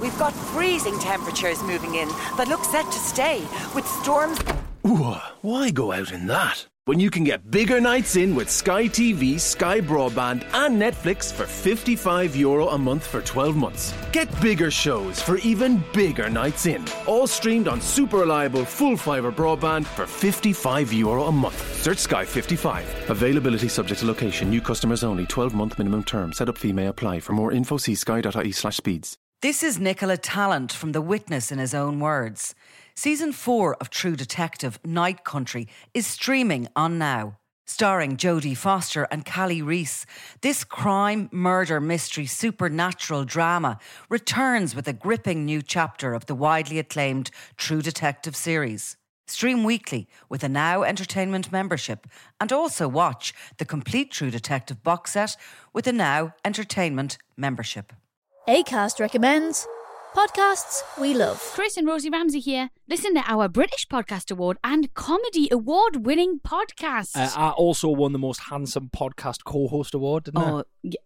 We've got freezing temperatures moving in that look set to stay, with storms. why go out in that? When you can get bigger nights in with Sky TV, Sky Broadband, and Netflix for €55 Euro a month for 12 months. Get bigger shows for even bigger nights in. All streamed on super reliable full fibre broadband for €55 Euro a month. Search Sky 55. Availability subject to location. New customers only. 12 month minimum term. Set setup may apply. For more info, see sky.ie slash speeds. This is Nicola Talent from The Witness in his own words. Season 4 of True Detective Night Country is streaming on now. Starring Jodie Foster and Callie Reese, this crime, murder, mystery, supernatural drama returns with a gripping new chapter of the widely acclaimed True Detective series. Stream weekly with a Now Entertainment membership and also watch the complete True Detective box set with a Now Entertainment membership. ACAST recommends podcasts we love. Chris and Rosie Ramsey here. Listen to our British Podcast Award and Comedy Award winning podcast. Uh, I also won the Most Handsome Podcast Co host award, oh,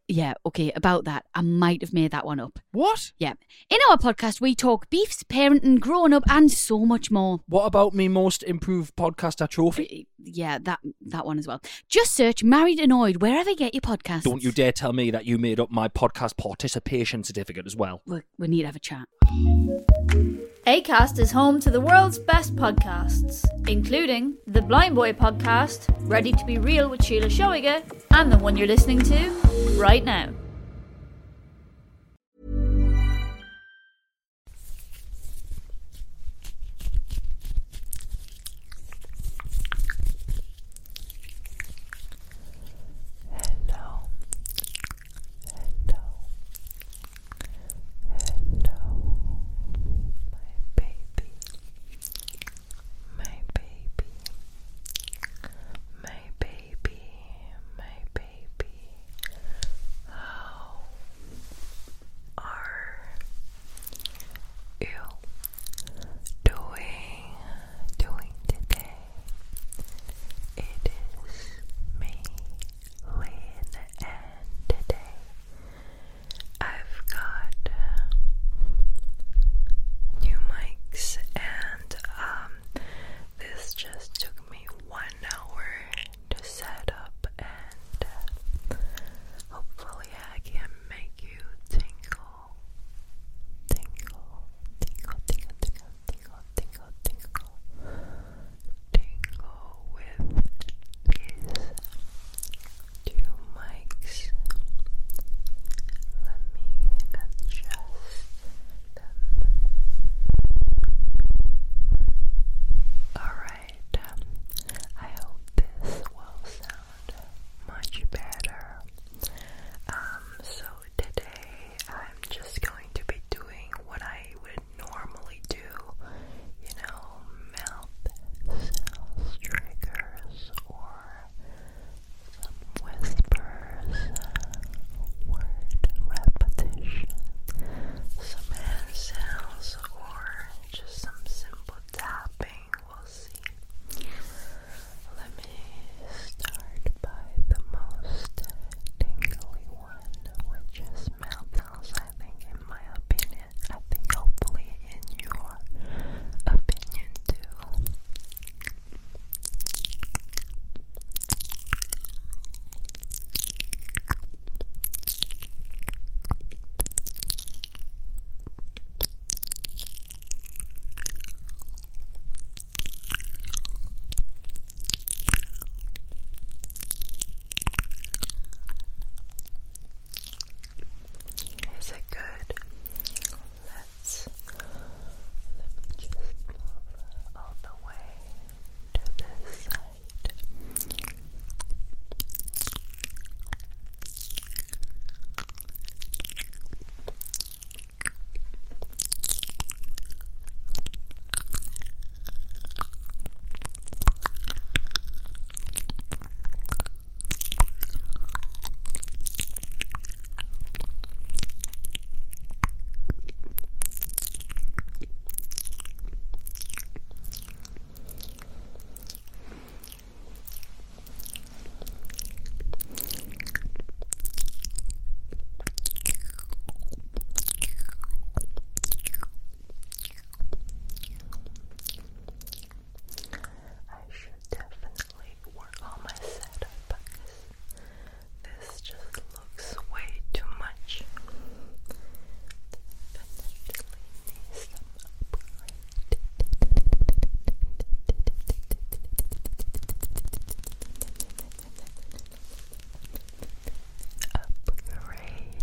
yeah. Okay, about that. I might have made that one up. What? Yeah. In our podcast, we talk beefs, parenting, grown up, and so much more. What about me most improved podcaster trophy? Uh, yeah, that that one as well. Just search Married Annoyed wherever you get your podcast. Don't you dare tell me that you made up my podcast participation certificate as well. We, need to have a chat. ACAST is home to the world's best podcasts, including the Blind Boy podcast, Ready to Be Real with Sheila Shoiger, and the one you're listening to right now. Hello. Hello. Hello. My baby. My baby. My baby. My baby. How are you doing? Doing today? It is me, Lynn, and today I've got uh, new mics and um, this just took me one hour to set up, and uh, hopefully, I can make you tingle. Tingle, tingle, tingle, tingle, tingle, tingle, tingle, tingle with these two mics. Let me adjust Alright, um, I hope this will sound much better. Um, so today I'm just going to be doing what I would normally do, you know, mouth sounds triggers or some whispers, uh, word repetition, some hand sounds, or just some simple tapping. We'll see. Let me start by the most tingly one, which is mouth sounds. in my opinion, I think hopefully in your opinion too. Is it good? Let's let me just move all the way to this side. I should definitely work on my setup because this just looks way too much. Definitely need some upgrade. Upgrade.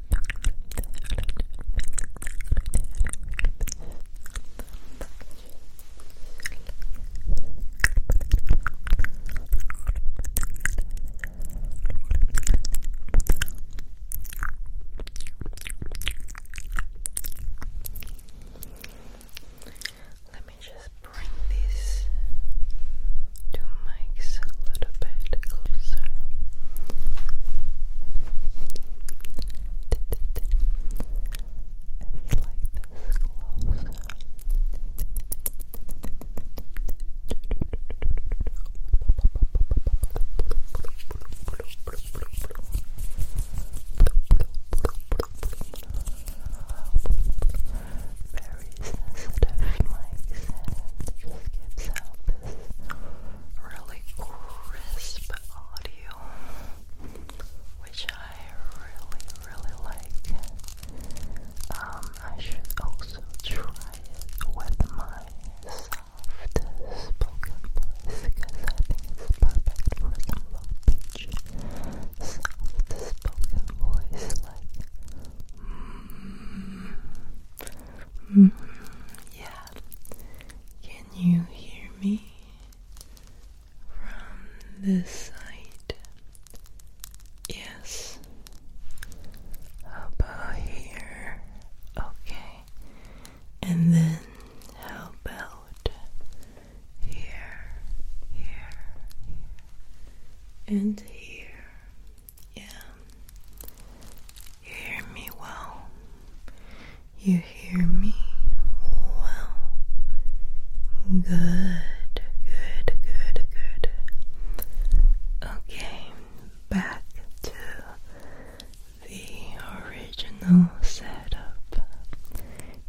Let me just bring this two mics a little bit closer. It's like this closer. Very sensitive mic and just gets out really crisp audio, which I really, really like. Um, I should also try it with my soft spoken voice because I think it's perfect for some low pitch, soft spoken voice like. Mm, Mm-hmm. Yeah. Can you hear me from this side? Yes. About here. Okay. And then how about here, here, and here? Yeah. You hear me well. You hear me well. Good, good, good, good. Okay, back to the original setup.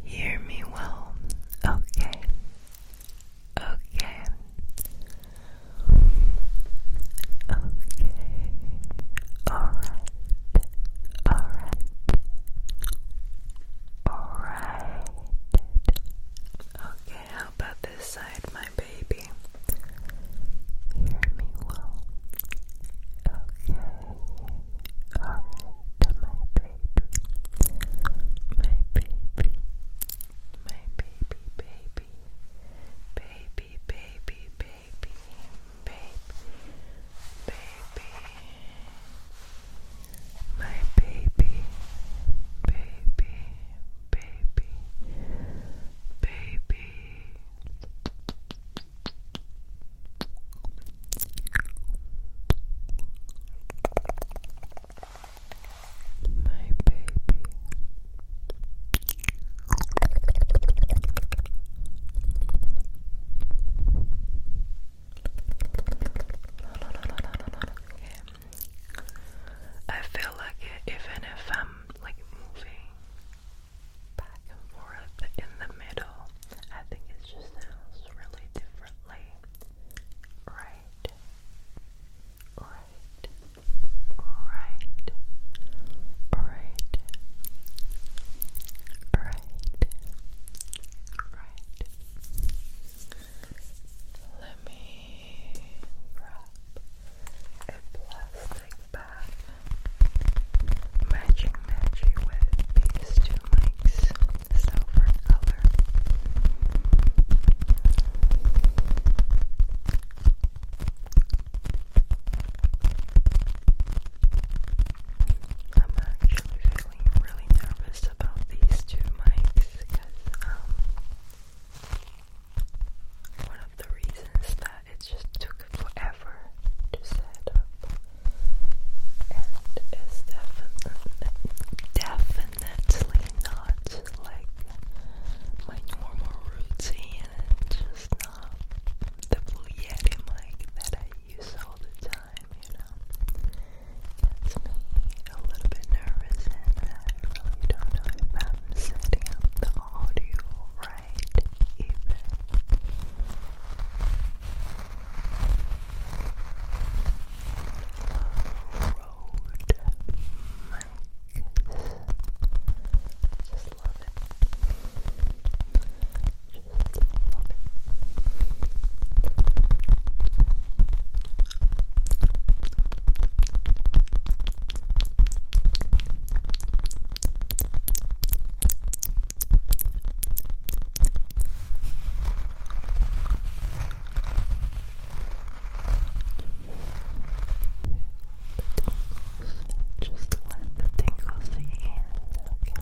Hear me well. Okay. Okay. Okay. Alright. Alright. Alright. Okay, how about this side, my baby? Hear me well. Okay. Alright, my baby. My baby. My baby, baby baby, baby, baby, baby, baby, my baby, baby, baby, baby my baby. I feel like even if I'm like moving back and forth in the middle, I think it just sounds really differently, right? right, right, right, right, right. Let me grab a plastic bag, matching matchy with these two mics, silver color. I'm actually feeling really nervous about these two mics because um, one of the reasons that it just took forever to set up and it's definitely definitely definitely not like my normal routine and just not the blue yeti that I use all the time, you know. Gets me a little bit nervous and I really don't know if I'm setting up the audio right even. Oh, just love it. Just love it tingles, just let the tingles in, Okay.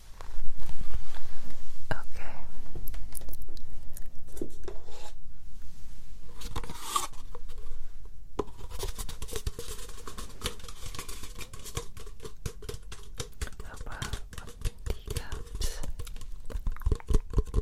Okay. How about teacups? Okay.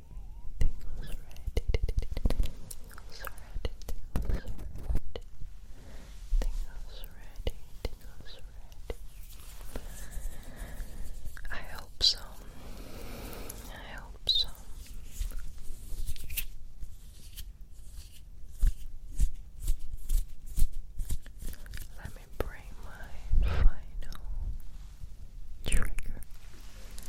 tingles red, tingles red, tingles red, tingles red, I hope so. I hope so. Let me bring my final trigger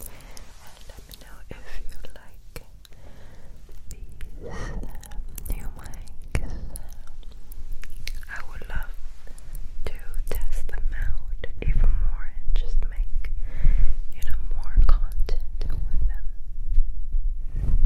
and let me know if you like these um, new mics. I would love to test them out even more and just make you know more content with them. Okay.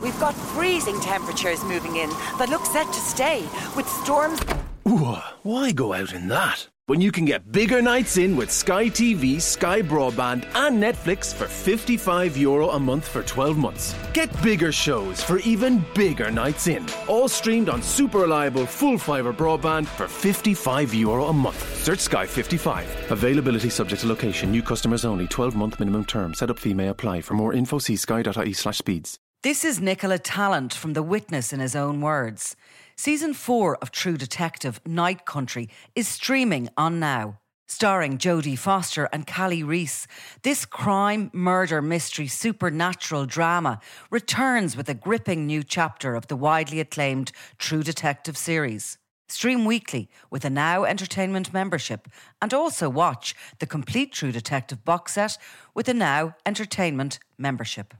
We've got freezing temperatures moving in that look set to stay with storms. Ooh, why go out in that? when you can get bigger nights in with Sky TV, Sky Broadband, and Netflix for €55 Euro a month for 12 months. Get bigger shows for even bigger nights in. All streamed on super reliable full fibre broadband for €55 Euro a month. Search Sky 55. Availability subject to location. New customers only. 12 month minimum term. Setup fee may apply. For more info, see sky.ie slash speeds. This is Nicola Talent from The Witness in his own words. Season 4 of True Detective Night Country is streaming on now. Starring Jodie Foster and Callie Reese, this crime, murder, mystery, supernatural drama returns with a gripping new chapter of the widely acclaimed True Detective series. Stream weekly with a Now Entertainment membership and also watch the complete True Detective box set with a Now Entertainment membership.